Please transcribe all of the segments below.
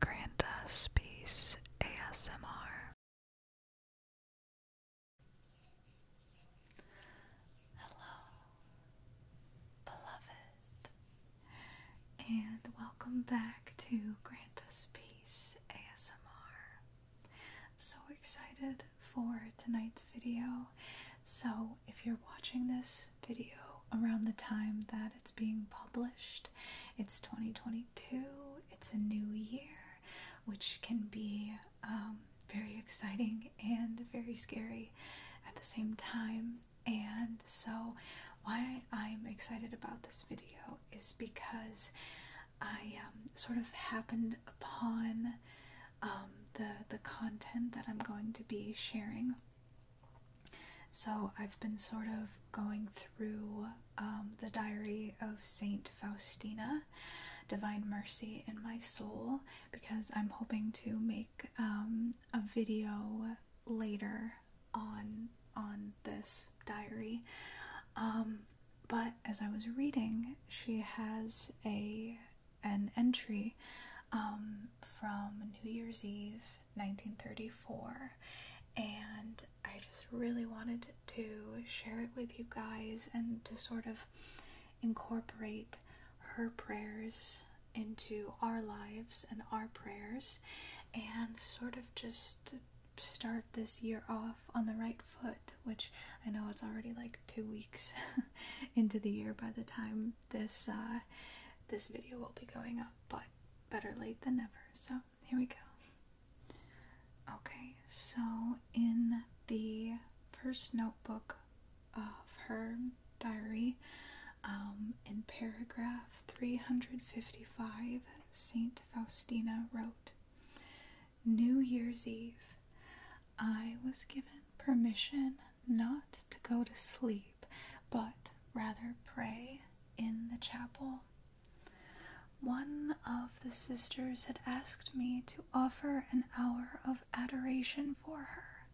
Grant us peace ASMR. Hello, beloved, and welcome back to Grant Us Peace ASMR. I'm so excited for tonight's video. So, if you're watching this video around the time that it's being published. It's 2022, it's a new year, which can be um, very exciting and very scary at the same time. And so, why I'm excited about this video is because I um, sort of happened upon um, the the content that I'm going to be sharing so I've been sort of going through um, the diary of Saint Faustina, Divine Mercy in My Soul, because I'm hoping to make um, a video later on on this diary. Um, but as I was reading, she has a an entry from New Year's Eve 1934, and I just really wanted to share it with you guys and to sort of incorporate her prayers into our lives and our prayers and sort of just start this year off on the right foot, which I know it's already like two weeks into the year by the time this uh, this video will be going up but better late than never. So here we go. Okay, so in the first notebook of her diary, um, in paragraph 355, Saint Faustina wrote, New Year's Eve, I was given permission not to go to sleep, but rather pray in the chapel. One of the sisters had asked me to offer an hour of adoration for her.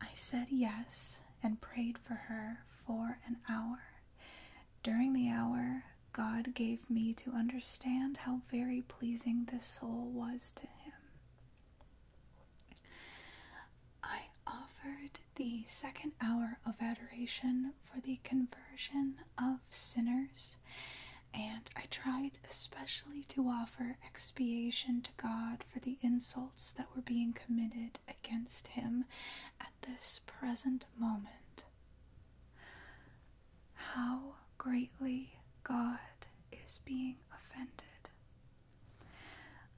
I said yes and prayed for her for an hour. During the hour, God gave me to understand how very pleasing this soul was to Him. I offered the second hour of adoration for the conversion of sinners, and I tried especially to offer expiation to God for the insults that were being committed against him at this present moment. How greatly God is being offended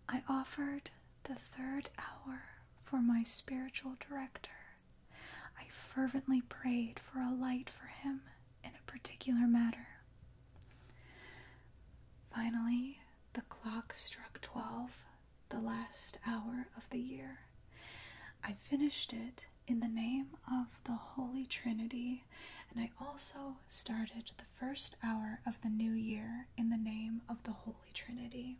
I offered the third hour for my spiritual director. I fervently prayed for a light for him in a particular matter. Finally, the clock struck twelve, the last hour of the year. I finished it in the name of the Holy Trinity, and I also started the first hour of the new year in the name of the Holy Trinity.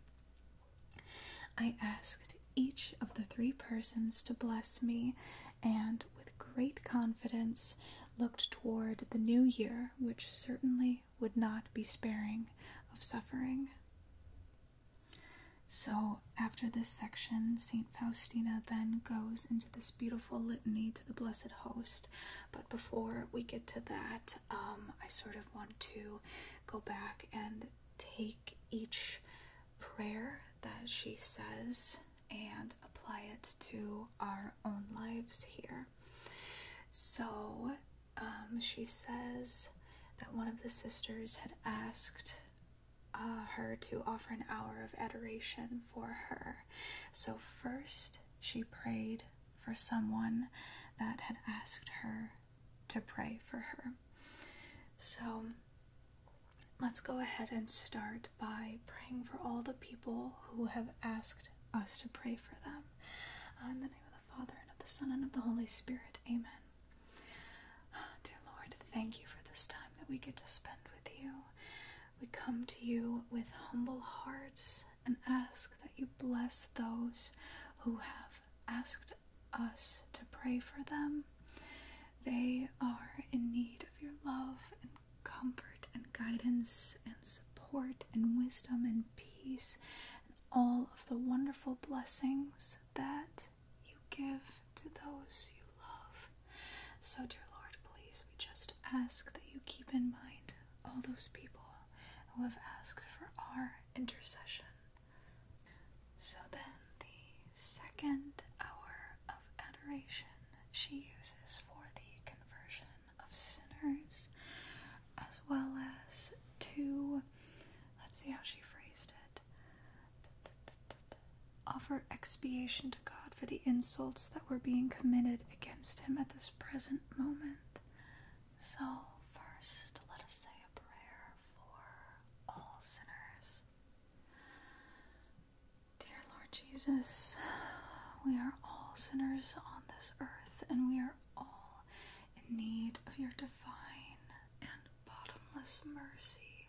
I asked each of the three persons to bless me, and with great confidence looked toward the new year, which certainly would not be sparing of suffering. So, after this section, St. Faustina then goes into this beautiful litany to the Blessed Host, but before we get to that, um, I sort of want to go back and take each prayer that she says and apply it to our own lives here. So um, she says that one of the sisters had asked uh, her to offer an hour of adoration for her. So first she prayed for someone that had asked her to pray for her. So let's go ahead and start by praying for all the people who have asked us to pray for them. Uh, in the name of the Father, and of the Son, and of the Holy Spirit. Amen. dear Lord, thank you for this time that we get to spend with you. We come to you with humble hearts and ask that you bless those who have asked us to pray for them. They are in need of your love and comfort and guidance and support and wisdom and peace and all of the wonderful blessings that you give to those you love. So, dear Lord, please, we just ask that you keep in mind all those people who have asked for our intercession. So then, the second hour of adoration she uses for the conversion of sinners, as well as to, let's see how she phrased it, offer expiation to God for the insults that were being committed against him at this present moment. So, first, let us say a prayer for all sinners. Dear Lord Jesus, we are all sinners on this earth, and we are all in need of your divine and bottomless mercy.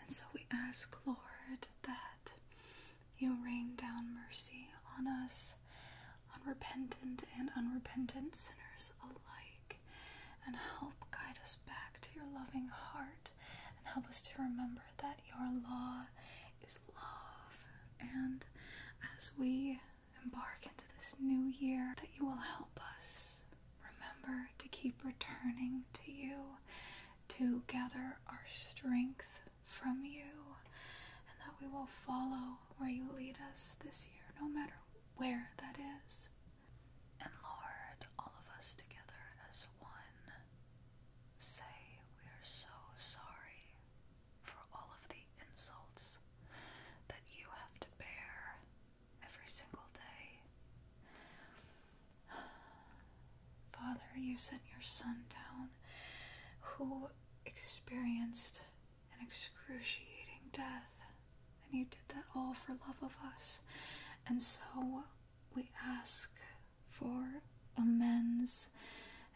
And so we ask, Lord, that you rain down mercy on us unrepentant and unrepentant sinners alike, and help guide us back to your loving heart, and help us to remember that your law is love. And as we embark into this new year, that you will help us remember to keep returning to you, to gather our strength from you, and that we will follow where you lead us this year, no matter where that is. And Lord, all of us together as one say we are so sorry for all of the insults that you have to bear every single day. Father, you sent your son down who experienced caused an excruciating death, and you did that all for love of us. And so we ask for amends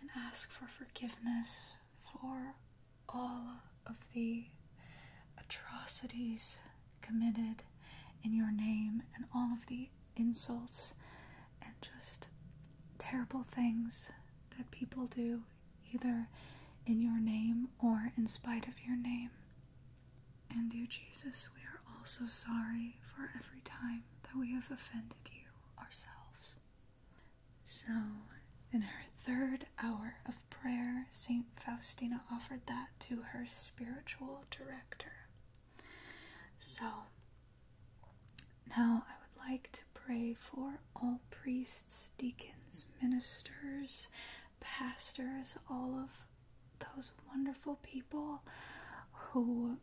and ask for forgiveness for all of the atrocities committed in your name and all of the insults and just terrible things that people do, either in your name or in spite of your name. And dear Jesus, we are also sorry for every time that we have offended you ourselves. So, in her third hour of prayer, St. Faustina offered that to her spiritual director. So, now I would like to pray for all priests, deacons, ministers, pastors, all of those wonderful people who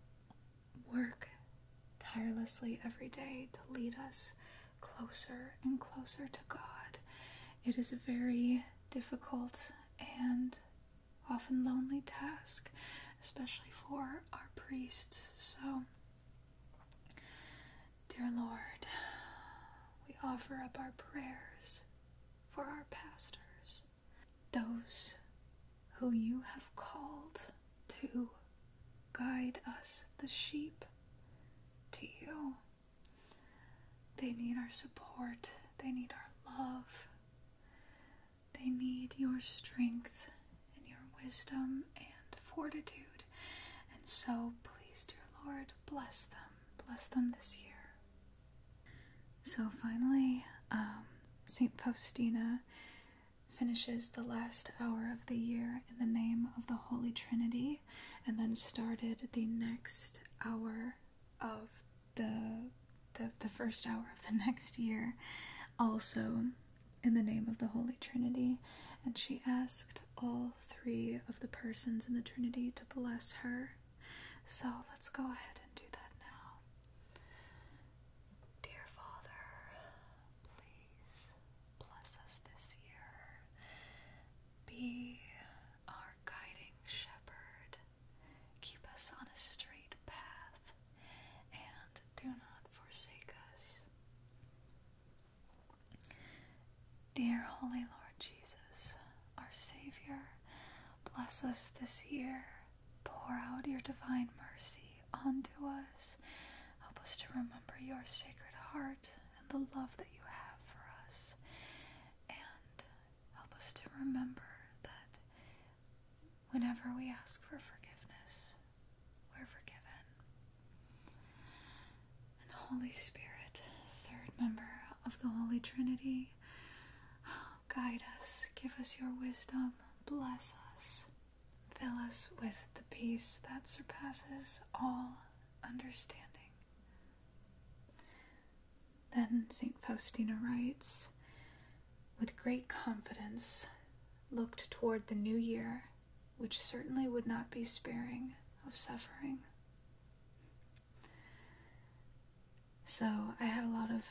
work tirelessly every day to lead us closer and closer to God. It is a very difficult and often lonely task, especially for our priests. So, Dear Lord, we offer up our prayers for our pastors, those who you have called to guide us, the sheep, to you. They need our support, they need our love, they need your strength and your wisdom and fortitude. And so, please, dear Lord, bless them. Bless them this year. So, finally, um, St. Faustina finishes the last hour of the year in the name of the Holy Trinity and then started the next hour of the, the first hour of the next year also in the name of the Holy Trinity, and she asked all three of the persons in the Trinity to bless her. So let's go ahead and do that now. Dear Father, please bless us this year. Be our guiding shepherd. Keep us on a straight path and do not forsake us Dear Holy Lord Jesus, our Savior, bless us this year. Pour out your divine mercy onto us. Help us to remember your sacred heart and the love that you have for us. And help us to remember that Whenever we ask for forgiveness, we're forgiven. And Holy Spirit, third member of the Holy Trinity, guide us, give us your wisdom, bless us, fill us with the peace that surpasses all understanding. Then St. Faustina writes, with great confidence, looked toward the new year which certainly would not be sparing of suffering. So, I had a lot of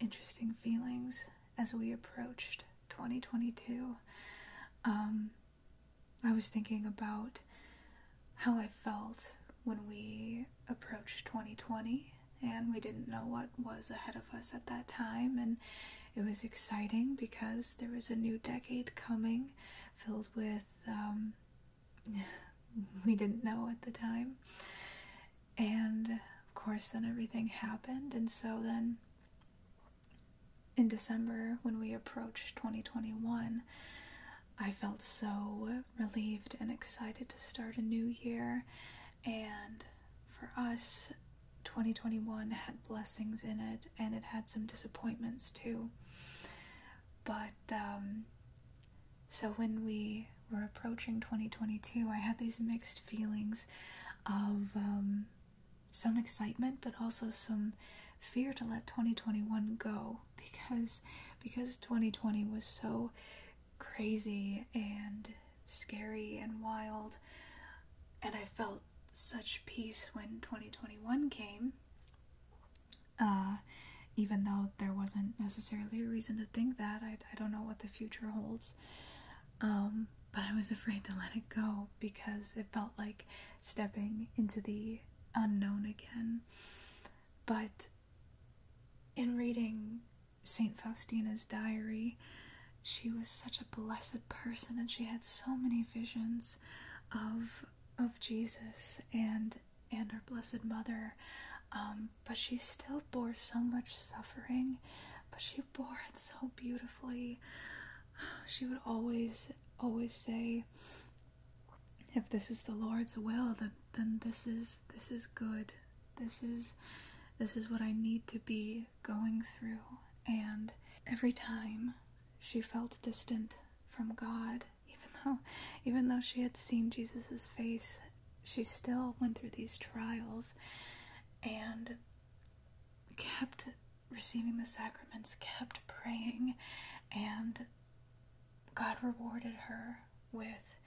interesting feelings as we approached 2022. Um, I was thinking about how I felt when we approached 2020 and we didn't know what was ahead of us at that time and it was exciting because there was a new decade coming filled with, um, we didn't know at the time. And of course, then everything happened. And so then in December, when we approached 2021, I felt so relieved and excited to start a new year. And for us, 2021 had blessings in it and it had some disappointments too. But um, so when we were approaching 2022, I had these mixed feelings of um, some excitement, but also some fear to let 2021 go because because 2020 was so crazy and scary and wild. And I felt such peace when 2021 came. Uh, even though there wasn't necessarily a reason to think that, I, don't know what the future holds. Um, but I was afraid to let it go because it felt like stepping into the unknown again. But in reading St. Faustina's diary, she was such a blessed person and she had so many visions of of Jesus and and our blessed mother um, but she still bore so much suffering but she bore it so beautifully she would always always say if this is the Lord's will then then this is this is good this is this is what I need to be going through, and every time she felt distant from God, even though even though she had seen Jesus's face, she still went through these trials and kept receiving the sacraments, kept praying, and God rewarded her with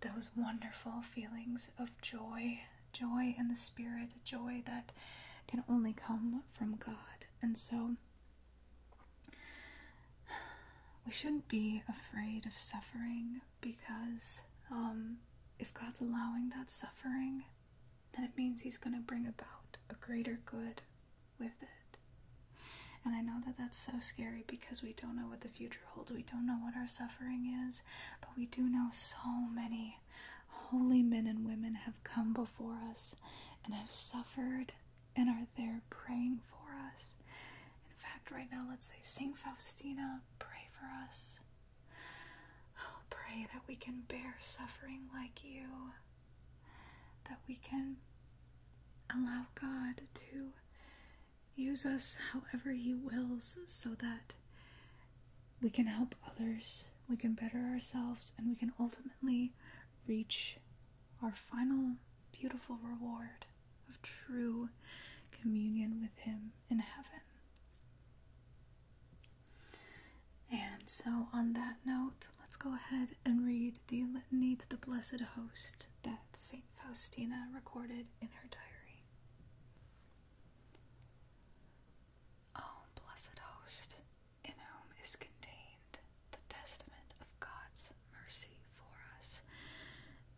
those wonderful feelings of joy joy in the spirit, a joy that can only come from God. And so we shouldn't be afraid of suffering because um, if God's allowing that suffering, then it means He's going to bring about a greater good with it. And I know that that's so scary because we don't know what the future holds, we don't know what our suffering is, but we do know so many holy men and women have come before us and have suffered and are there praying for us. In fact, right now, let's say, St. Faustina, pray for us. Oh, pray that we can bear suffering like you, that we can allow God to use us however He wills so that we can help others, we can better ourselves, and we can ultimately reach our final beautiful reward of true communion with Him in heaven. And so, on that note, let's go ahead and read the Litany to the Blessed Host that St. Faustina recorded in her diary. O oh, blessed host, in whom is contained the testament of God's mercy for us,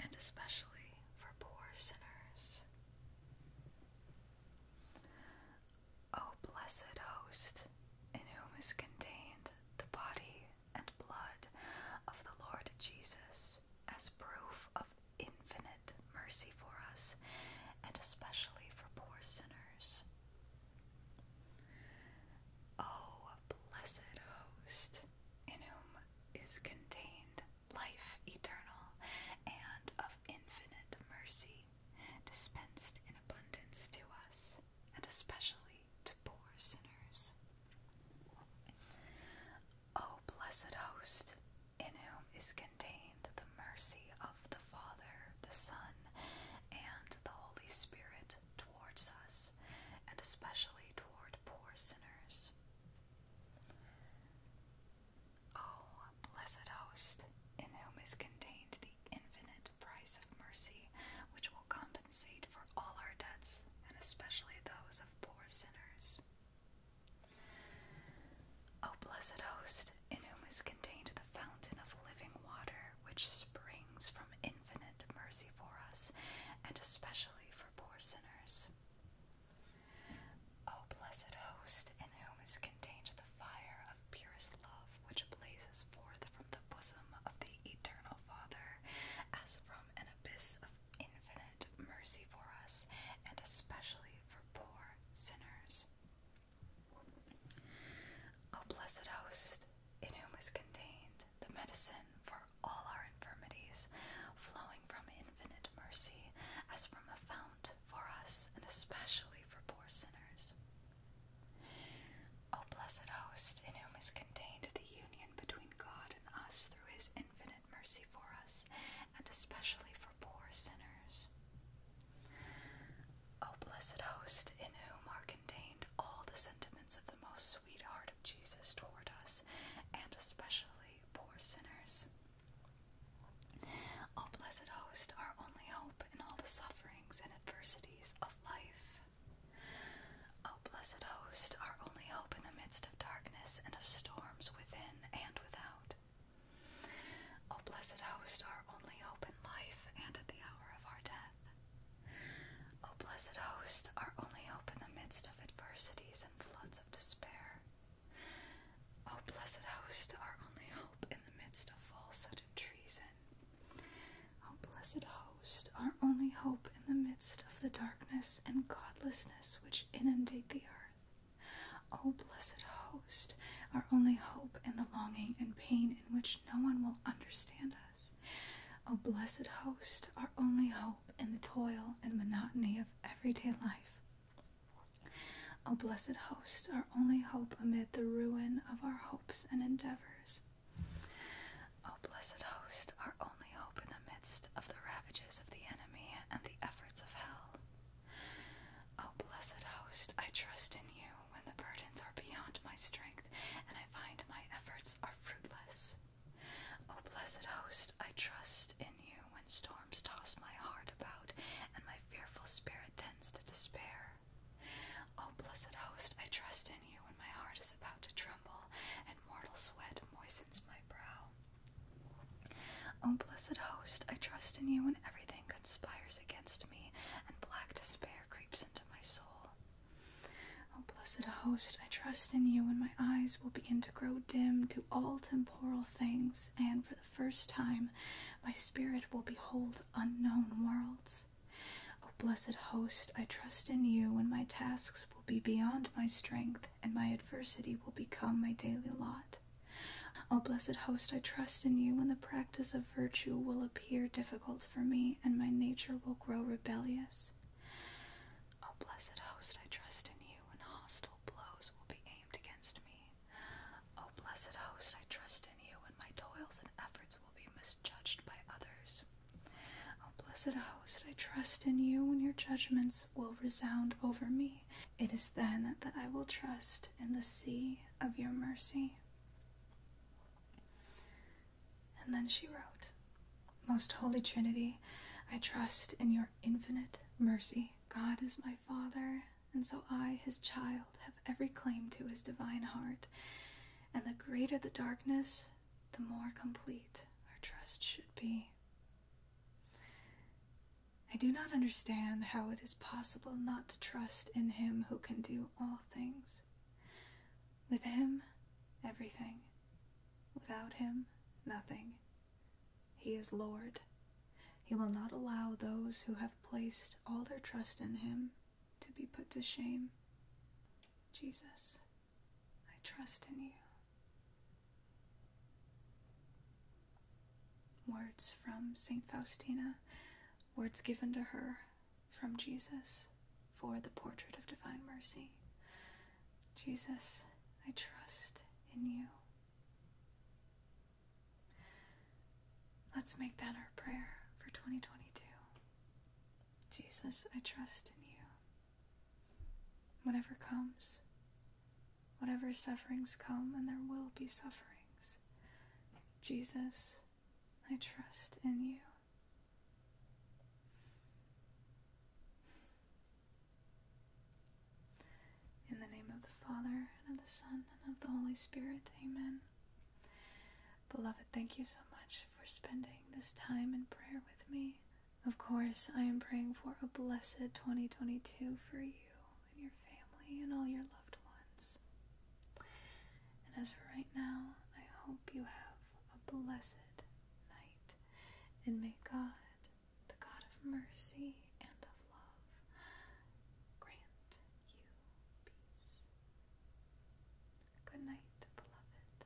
and especially for poor sinners. O oh, blessed host, in whom is contained the body and blood of the Lord Jesus, as proof of infinite mercy for us, and especially for poor sinners. O oh, blessed host, in whom is contained life eternal and of infinite mercy, dispensed in abundance to us, and especially to poor sinners. O oh, blessed host, in whom is contained the mercy of the Father, the Son, and the Holy Spirit towards us, and especially toward poor sinners. O blessed host, in whom is contained the infinite price of mercy, which will compensate for all our debts, and especially those of poor sinners. O blessed host, in whom is contained the fountain of living water, which springs from infinite mercy for us, and especially for poor sinners. O blessed host, in whom is contained the fire of purest love, which blazes forth from the bosom of the eternal Father, as from an abyss of infinite mercy for us, and especially for poor sinners. O blessed host, in whom is contained the medicine for all our infirmities, flowing from infinite mercy as from a fount for us, and especially for poor sinners. O blessed host, in whom is contained the union between God and us through his infinite mercy for us, and especially for poor sinners. O blessed host, in whom are contained all the sentiments of the most sweet heart of Jesus toward us, and especially poor sinners. O blessed host, our only hope in all the sufferings and adversities of life. O blessed host, our only hope in the midst of darkness and of storms within and without. O oh, blessed host, our only hope in life and at the hour of our death. O oh, blessed host, our only hope in the midst of adversities and floods of despair. O oh, blessed host, our only hope in the midst of falsehood and treason. O blessed host, our only hope in the midst of the darkness and godlessness which inundate the earth. O oh, blessed host, our only hope in the longing and pain in which no one will understand us. O oh, blessed host, our only hope in the toil and monotony of everyday life. O oh, blessed host, our only hope amid the ruin of our hopes and endeavors. O oh, blessed host, our only hope in the midst of the ravages of the enemy and the efforts of hell. O oh, blessed host, I trust in you when the burdens are beyond my strength and I find my efforts are fruitless. O oh, blessed host, I trust in you when storms toss my heart about and my fearful spirit tends to despair. O oh, blessed host, I trust in you when my heart is about to tremble and mortal sweat moistens my brow. O oh, blessed host, I trust in you when everything conspires against me, and black despair creeps into my soul. O oh, blessed host, I trust in you when my eyes will begin to grow dim to all temporal things, and for the first time my spirit will behold unknown worlds. O oh, blessed host, I trust in you when my tasks will be beyond my strength and my adversity will become my daily lot. O blessed host, I trust in you, when the practice of virtue will appear difficult for me, and my nature will grow rebellious. O blessed host, I trust in you, when hostile blows will be aimed against me. O blessed host, I trust in you, when my toils and efforts will be misjudged by others. O blessed host, I trust in you, when your judgments will resound over me. It is then that I will trust in the sea of your mercy. And then she wrote, Most Holy Trinity, I trust in your infinite mercy. God is my Father, and so I, his child, have every claim to his divine heart. And the greater the darkness, the more complete our trust should be. I do not understand how it is possible not to trust in Him who can do all things. With Him, everything. Without Him, nothing. He is Lord. He will not allow those who have placed all their trust in Him to be put to shame. Jesus, I trust in you. Words from St. Faustina, words given to her from Jesus for the portrait of divine mercy. Jesus, I trust in you. Let's make that our prayer for 2022. Jesus, I trust in you. Whatever comes, Whatever sufferings come, and there will be sufferings, Jesus, I trust in you. In the name of the Father, and of the Son, and of the Holy Spirit, amen. Beloved, thank you so much for spending this time in prayer with me. Of course, I am praying for a blessed 2022 for you and your family and all your loved ones. And as for right now, I hope you have a blessed night, and may God, the God of mercy and of love, grant you peace. Good night, beloved.